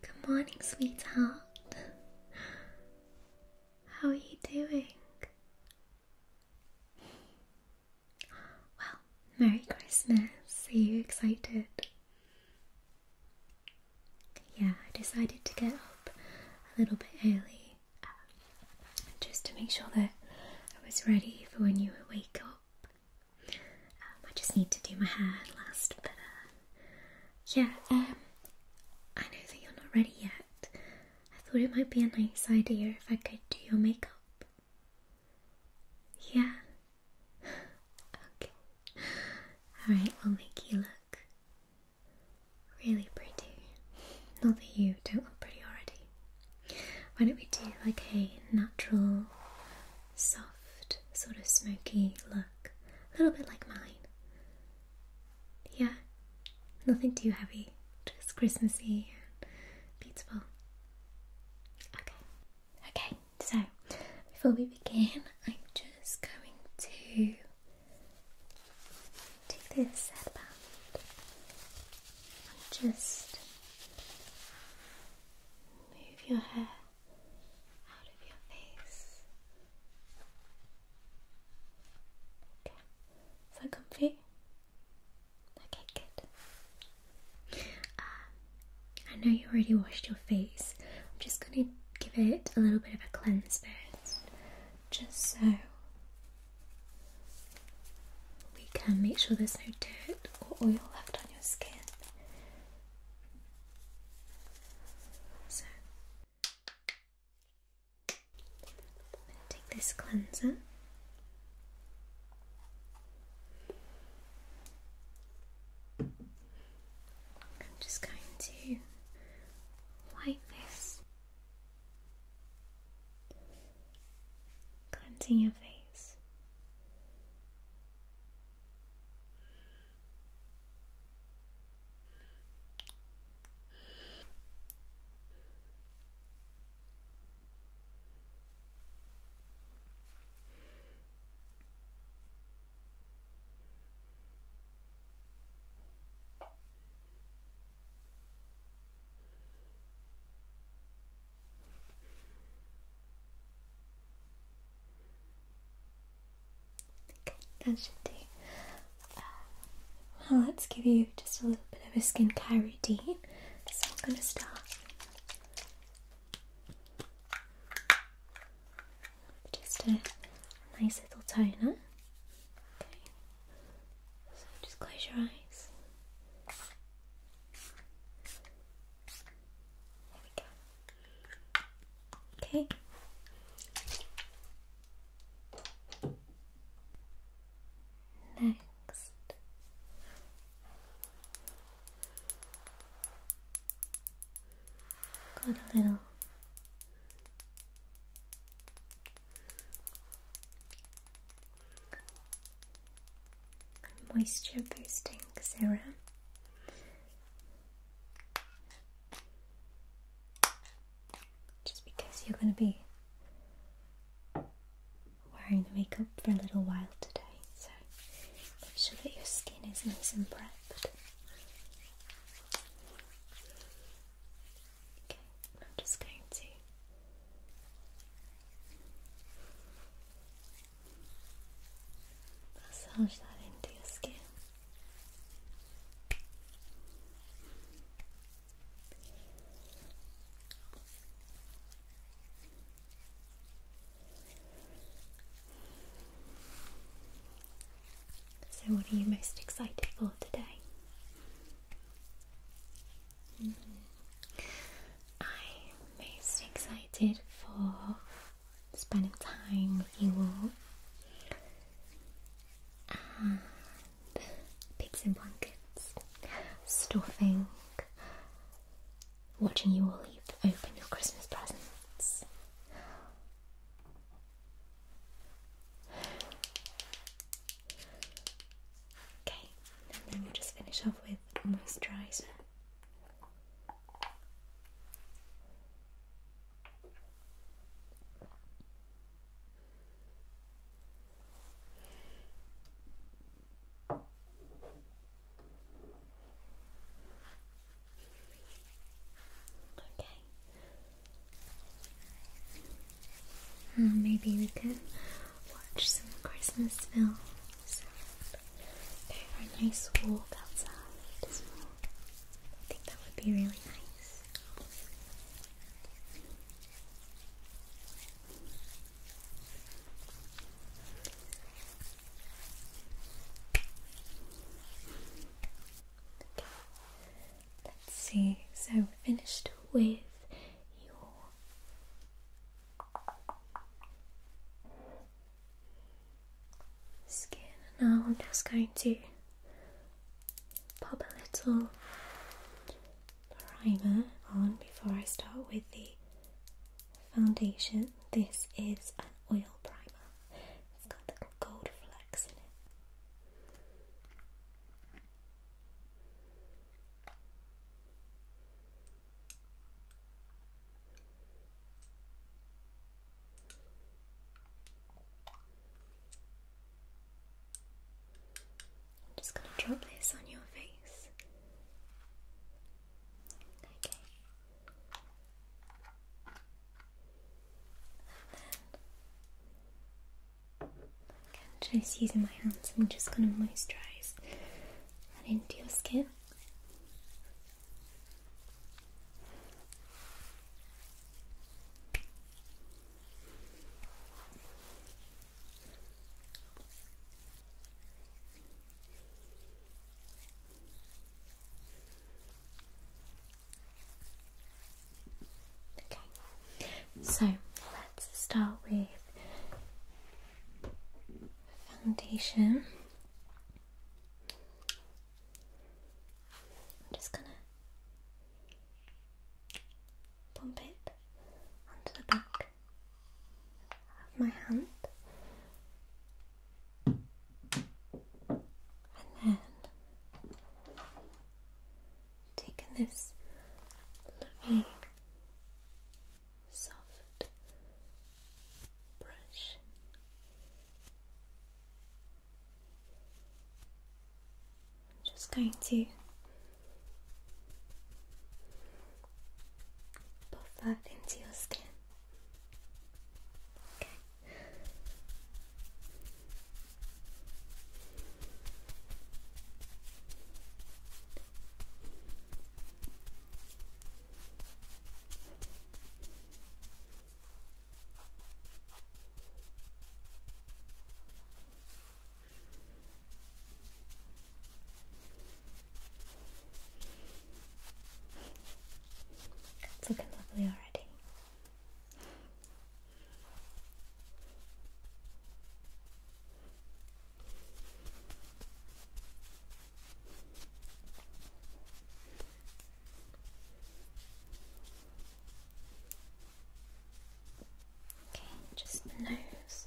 Good morning, sweetheart. How are you doing? Well, Merry Christmas. Are you excited? Yeah, I decided to get up a little bit early um, just to make sure that I was ready for when you were wake um, I just need to do my hair last, but uh, yeah, um, I know that you're not ready yet. I thought it might be a nice idea if I could do your makeup. Yeah. okay. Alright, we'll make you look really pretty. Not that you don't look pretty already. Why don't we do like a natural, soft, sort of smoky look? A little bit like mine. Yeah, nothing too heavy, just Christmassy and beautiful. Okay, okay, so before we begin, I'm just going to take this headband just move your hair out of your face. Okay, is that comfy? Okay, good. Um, I know you already washed your face. I'm just going to give it a little bit of a cleanse first, just so we can make sure there's no dirt or oil left on your skin. So, take this cleanser. I'm just going to wipe this cleansing your face. Okay, that should do. Uh, well, let's give you just a little bit of a skincare routine. So I'm going to start just a nice little toner. Okay. So just close your eyes. There we go. Okay. Next. Got a little Moisture boosting serum. Just because you're going to be wearing the makeup for a little while today, so make sure that your skin is nice and prepped. I'm just going to massage that into your skin. So, what are you most excited for today? I'm mm-hmm. most excited for spending time with you all and pigs in blankets, stuffing, watching you all open your Christmas presents. Okay, and then we'll just finish off with moisturizer. Okay. Hmm, maybe we could watch some Christmas films. There are nice walk outside I think that would be really nice. Let's see. So we finished with your skin. Now I'm just going to pop a little primer on before I start with the foundation. This is an oil primer. It's got little gold flecks in it. I'm just going to drop this on your face. Okay. I'm just using my hands, I'm just going to moisturise that into your skin. Okay, so let's start with foundation. I'm just gonna pump it onto the back of my hand. And then Taking this lovely soft brush just going to puff that into your skin. Okay. It's looking lovely already. Okay, just the nose.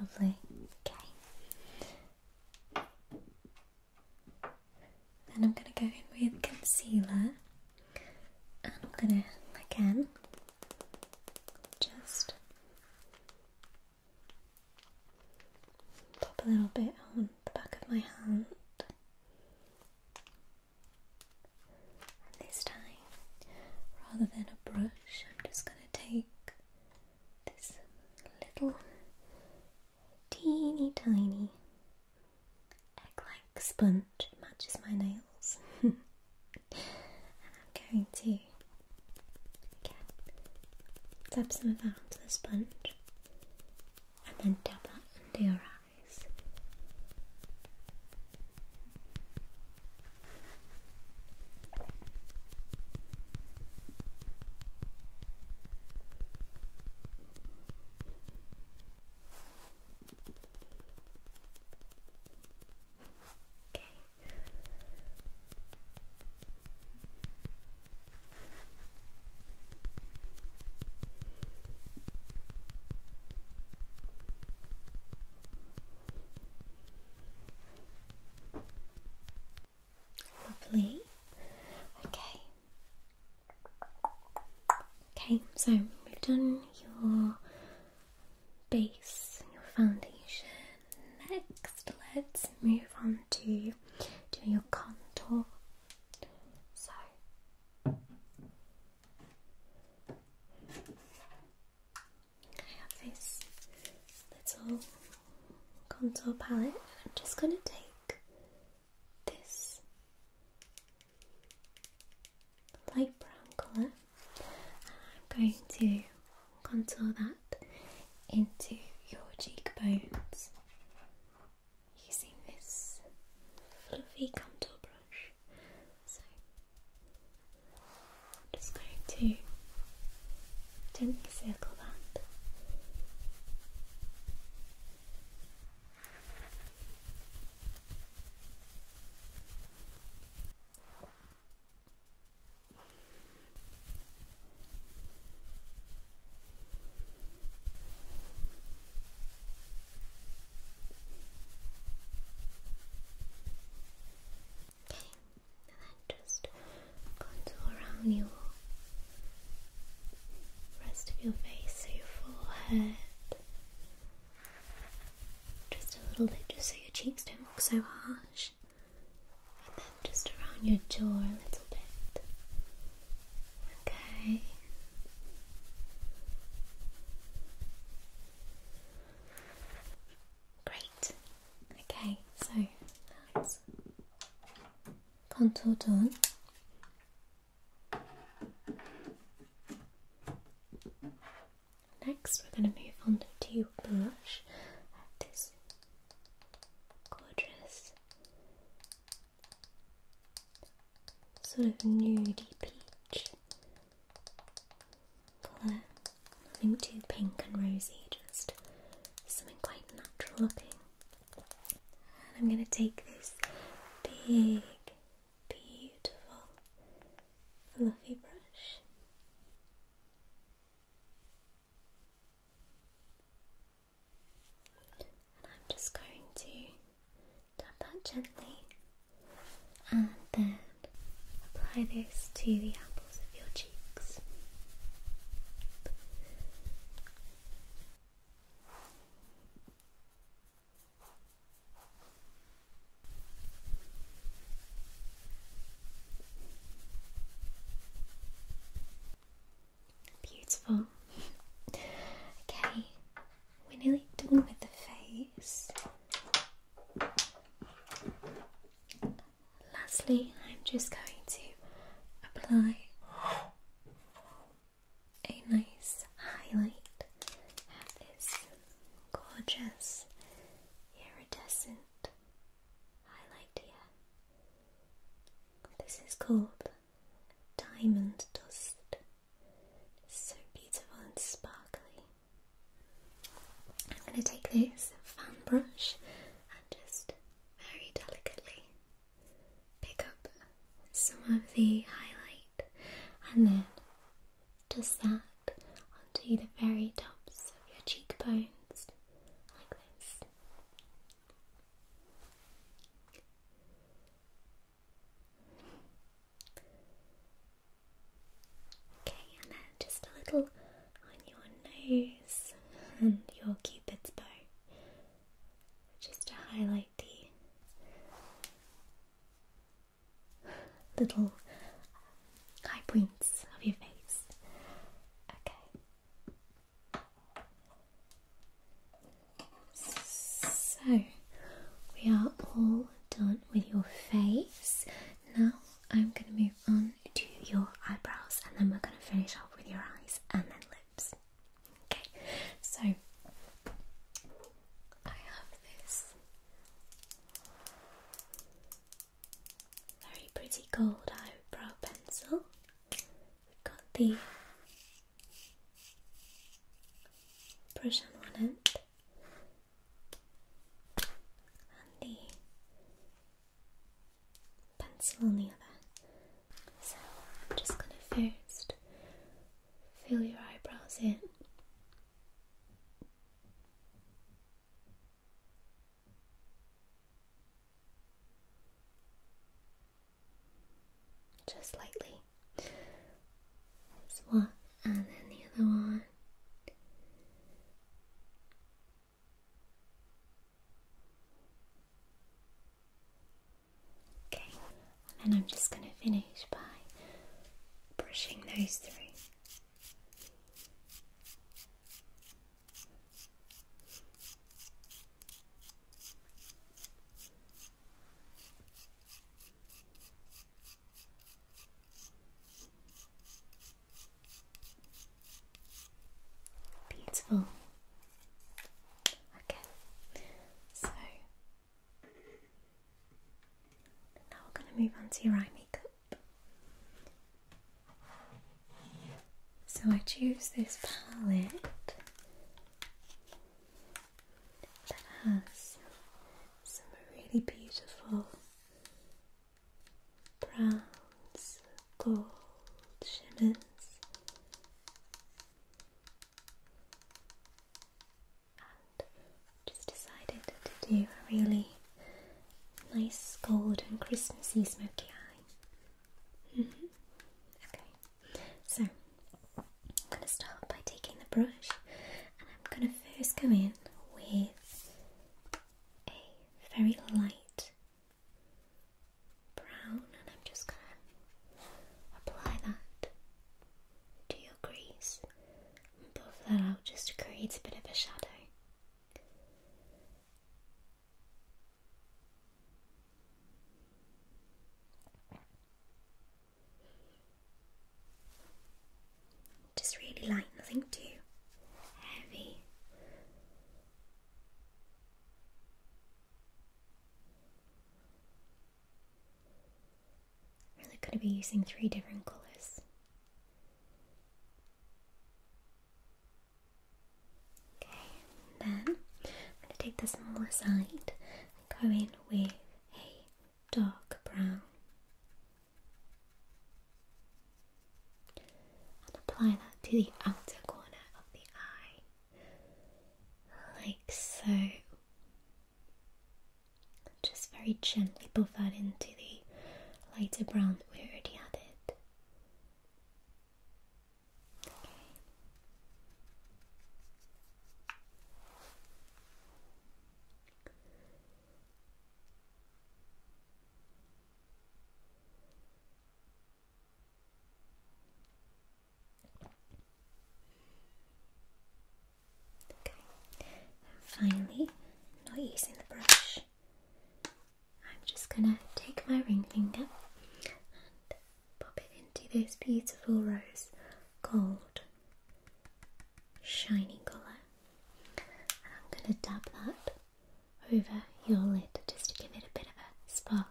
Lovely. Okay. Then I'm going to go in with concealer and I'm going to again just pop a little bit on the back of my hand this time, rather than a brush, I'm just going to take this little teeny tiny egg-like sponge, matches my nails. and I'm going to again, dab some of that onto the sponge and then dab that under your eye guys. Okay. Lovely. Okay. Okay, so we've done your base, your foundation. Next, let's move on to doing your contour. So, I have this little contour palette. I'm just going to take this light brown colour and I'm going to contour that into your cheekbones using this fluffy contour brush. So I'm just going to gently circle that. Okay, and then just contour around your rest of your face, so your forehead, just a little bit, just so your cheeks don't look so harsh, and then just around your jaw a little bit. Okay. Great. Okay, so contour done. Next, we're going to move on to blush. This gorgeous sort of nudey peach nothing too pink and rosy, just something quite natural looking. And I'm going to take this big, beautiful, fluffy brush. And I'm just going to Tap out gently and then apply this to the apples of your cheeks. Beautiful. okay, we're nearly done with the face. Lastly, I'm just going to apply a nice highlight. this gorgeous iridescent highlight This is called Diamond Dust. So beautiful and sparkly. I'm going to take this fan brush and just very delicately pick up some of the highlight and then just that onto the very tops of your cheekbones like this. Okay, and then just a little on your nose and your cupid's bow, just to highlight the little high points of your face. Okay. So we are all done with your face. Now I'm going to move on to your eyebrows and then we're going to finish off with your eyes and then lips. Okay, so I have this very pretty gold eyebrow pencil. We've got the brush on one and the pencil on the other. So I'm just going to first fill your eyebrows in. Just lightly. This one and then the other one. Okay, and I'm just going to finish by brushing those through. Beautiful. Okay, so now we're going to move on to eye makeup. So I choose this palette that has some really beautiful browns, gold shimmers. And just decided to do a really nice golden Christmassy smoky eye. Mm-hmm. Okay. So I'm going to start by taking the brush and I'm going to first go in with a very light brown and I'm just going to apply that to your crease and buff that out just to create a bit of a shadow. Just really light, nothing too heavy. Really could be using three different colours. Okay, then I'm going to take the smaller side and go in with a dark brown and apply that to the outer corner of the eye, like so. Just very gently buff that into the lighter brown that we already added. Okay. Okay, finally, not using the brush, I'm just gonna take my ring finger Pop it into this beautiful rose, gold, shiny colour. And I'm going to dab that over your lid just to give it a bit of a sparkle.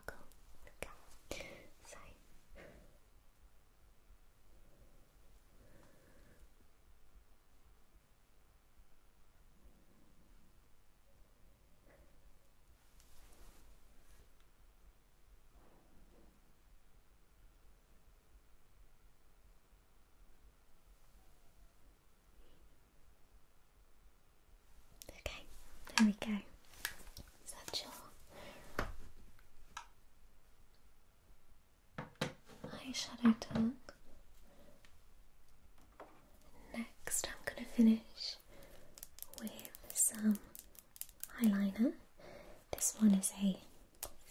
Okay, there we go. Is that eyeshadow done? Next, I'm going to finish with some eyeliner. This one is a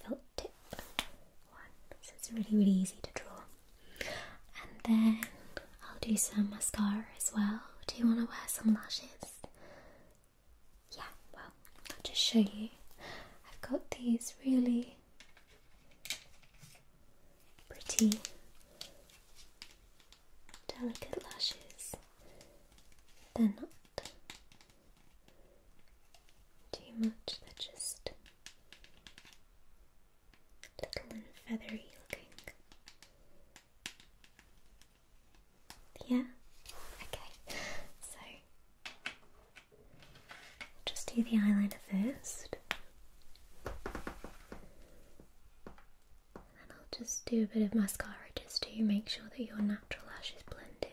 felt tip one, so it's really, really easy to draw. And then I'll do some mascara as well. Do you want to wear some lashes? Yeah, well, I'll just show you. I've got these really pretty delicate lashes. They're not too much, they're just little and feathery looking. Yeah? Okay, so just do the eyeliner first. And then I'll just do a bit of mascara just to make sure that your natural lash is blended.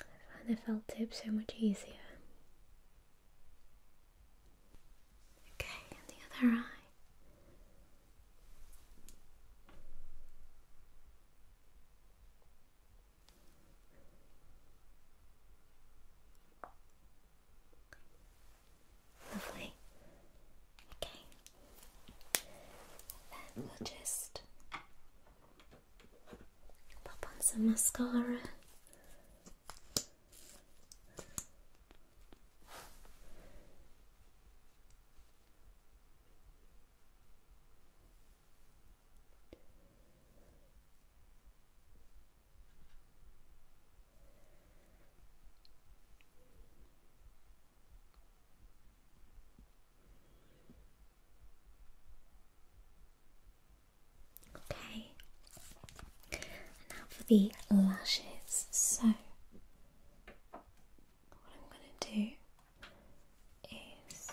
I find the felt tip so much easier. Okay, the other eye. Lovely. Okay. Then we'll just pop on some mascara. Okay, now for the lashes. So, what I'm going to do is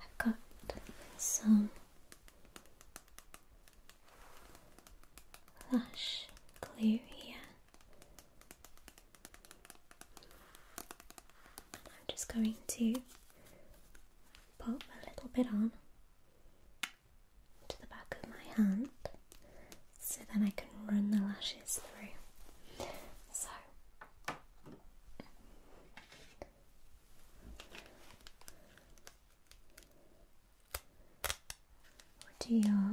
I've got some lush clear here. I'm just going to pop a little bit on to the back of my hand so then I can run the lashes through. So or to your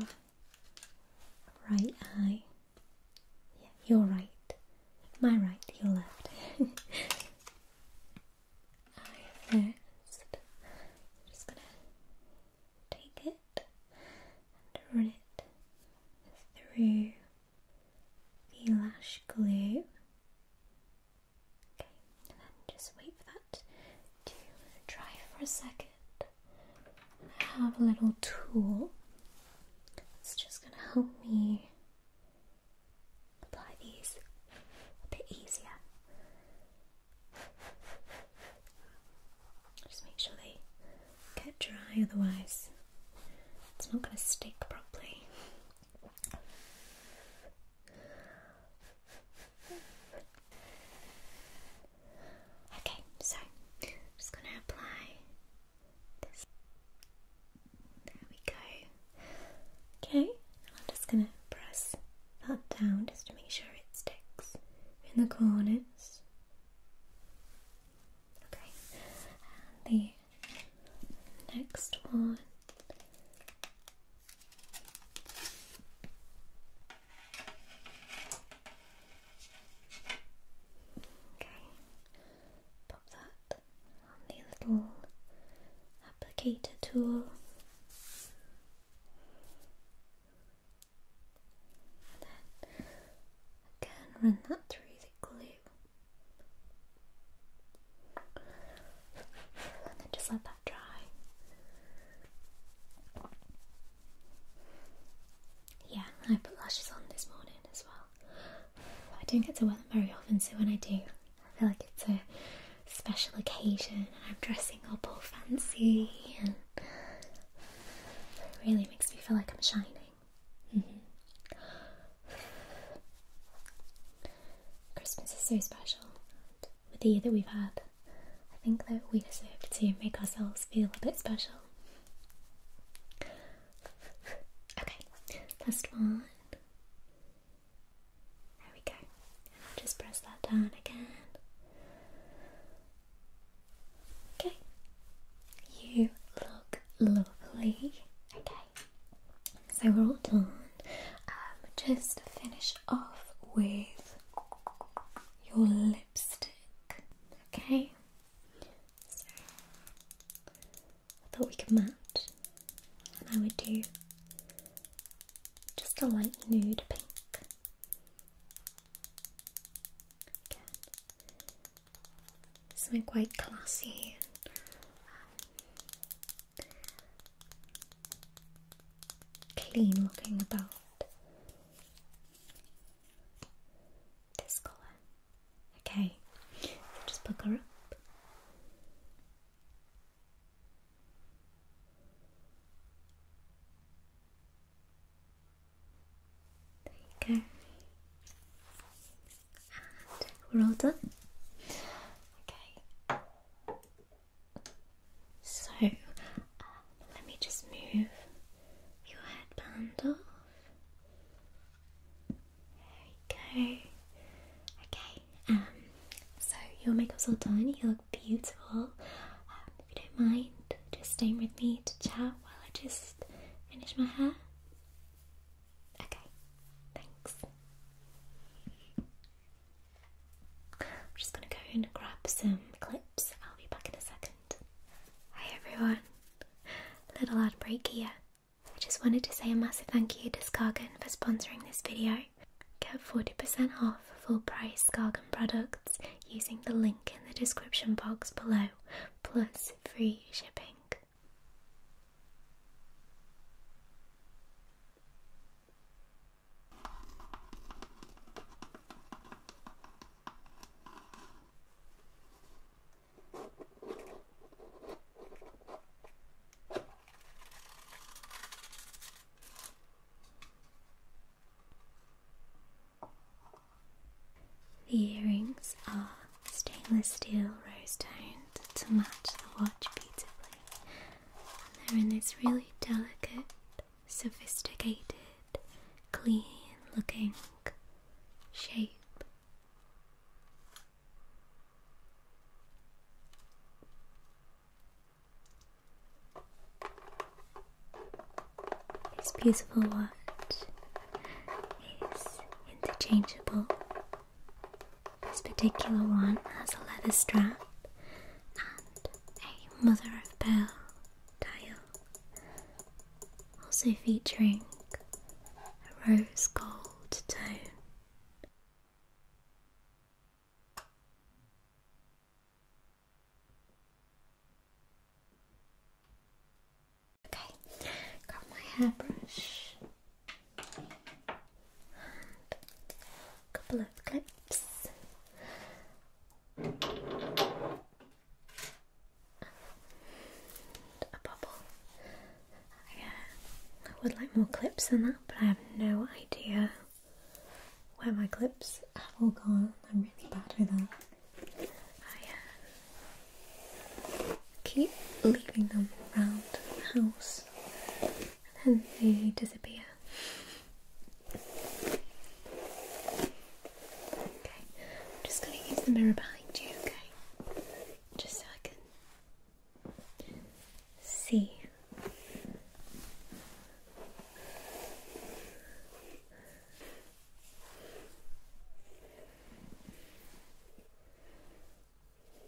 right eye. Yeah, your right. My right, your left. eye first. I'm just gonna take it and run it through the lash glue. Okay, and then just wait for that to dry for a second. I have a little tool that's just going to help me apply these a bit easier. Just make sure they get dry, otherwise, it's not going to stick properly. Okay, so I'm just going to apply this. There we go. Okay, I'm just going to press that down just to make sure it sticks in the corners. Okay, the next one Okay, pop that on the little applicator tool. And then again, run that through the glue and then just let that dry. Yeah, I put lashes on this morning as well. I don't get to wear them very often, so when I do, I feel like it's a special occasion and I'm dressing up all fancy and it really makes me feel like I'm shining. Mm-hmm. Christmas is so special with the year that we've had. I think that we deserve to make ourselves feel a bit special. okay, last one. There we go. just press that down again. Okay, you look lovely. Okay, so we're all done. Um, just finish off with your lipstick. Okay. So I thought we could match, and I would do just a light nude pink. Again, something quite classy clean looking about this colour. Okay, just pick her up. There you go. And we're all done. Okay. So uh, let me just move your headband off. There you go. Okay. Um. So your makeup's all done. You look beautiful. Um, if you don't mind, just staying with me to chat while I just finish my hair. Okay. Thanks. I'm just going to go and grab some clips. I'll be back in a second. Hi everyone, little ad break here. I just wanted to say a massive thank you to Scargan for sponsoring this video. Get 40% off full price Scargan products using the link in the description box below, plus free shipping. The earrings are stainless steel rose toned to match the watch beautifully they're in this really delicate, sophisticated, clean looking shape. This beautiful watch is interchangeable this particular one has a leather strap and a mother of pearl dial, also featuring a rose gold tone. Okay, got my hairbrush a couple of clips a bubble. I, I uh, would like more clips than that, but I have no idea where my clips have all gone. I'm really bad with that. I uh, keep leaving them around the house and then they disappear. Okay, I'm just going to use the mirror behind you, okay? Just so I can see.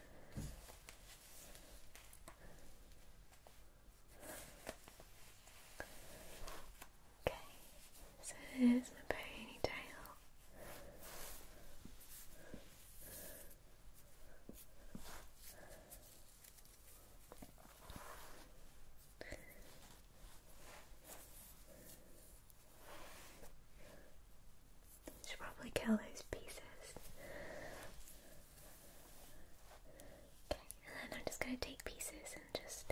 Okay, so here's my ponytail. Should probably kill those pieces. Okay, and then I'm just going to take pieces and just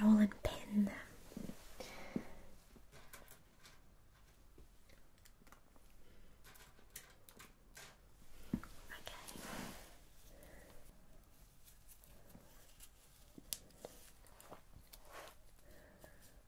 roll and pin them. Okay.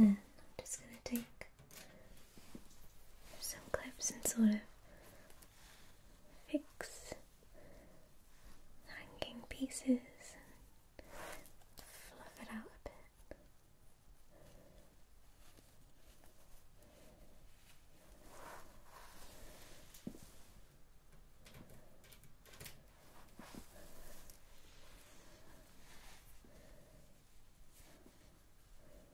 I'm just going to take some clips and sort of fix hanging pieces fluff it out a bit.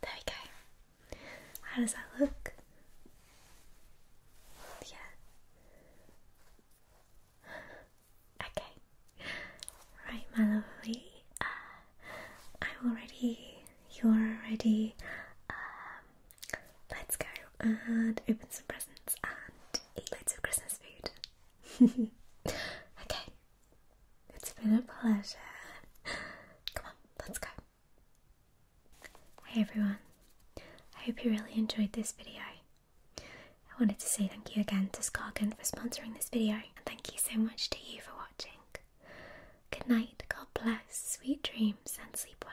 There we go. How does that look? Yeah. Okay. Right, my lovely. Uh, I'm already. You're already. Um, let's go and open some presents and eat loads of Christmas food. okay. It's been a pleasure. Come on, let's go. Hey everyone, I hope you really enjoyed this video. I wanted to say thank you again to Scargan for sponsoring this video and thank you so much to you for watching. Good night, God bless, sweet dreams and sleep well.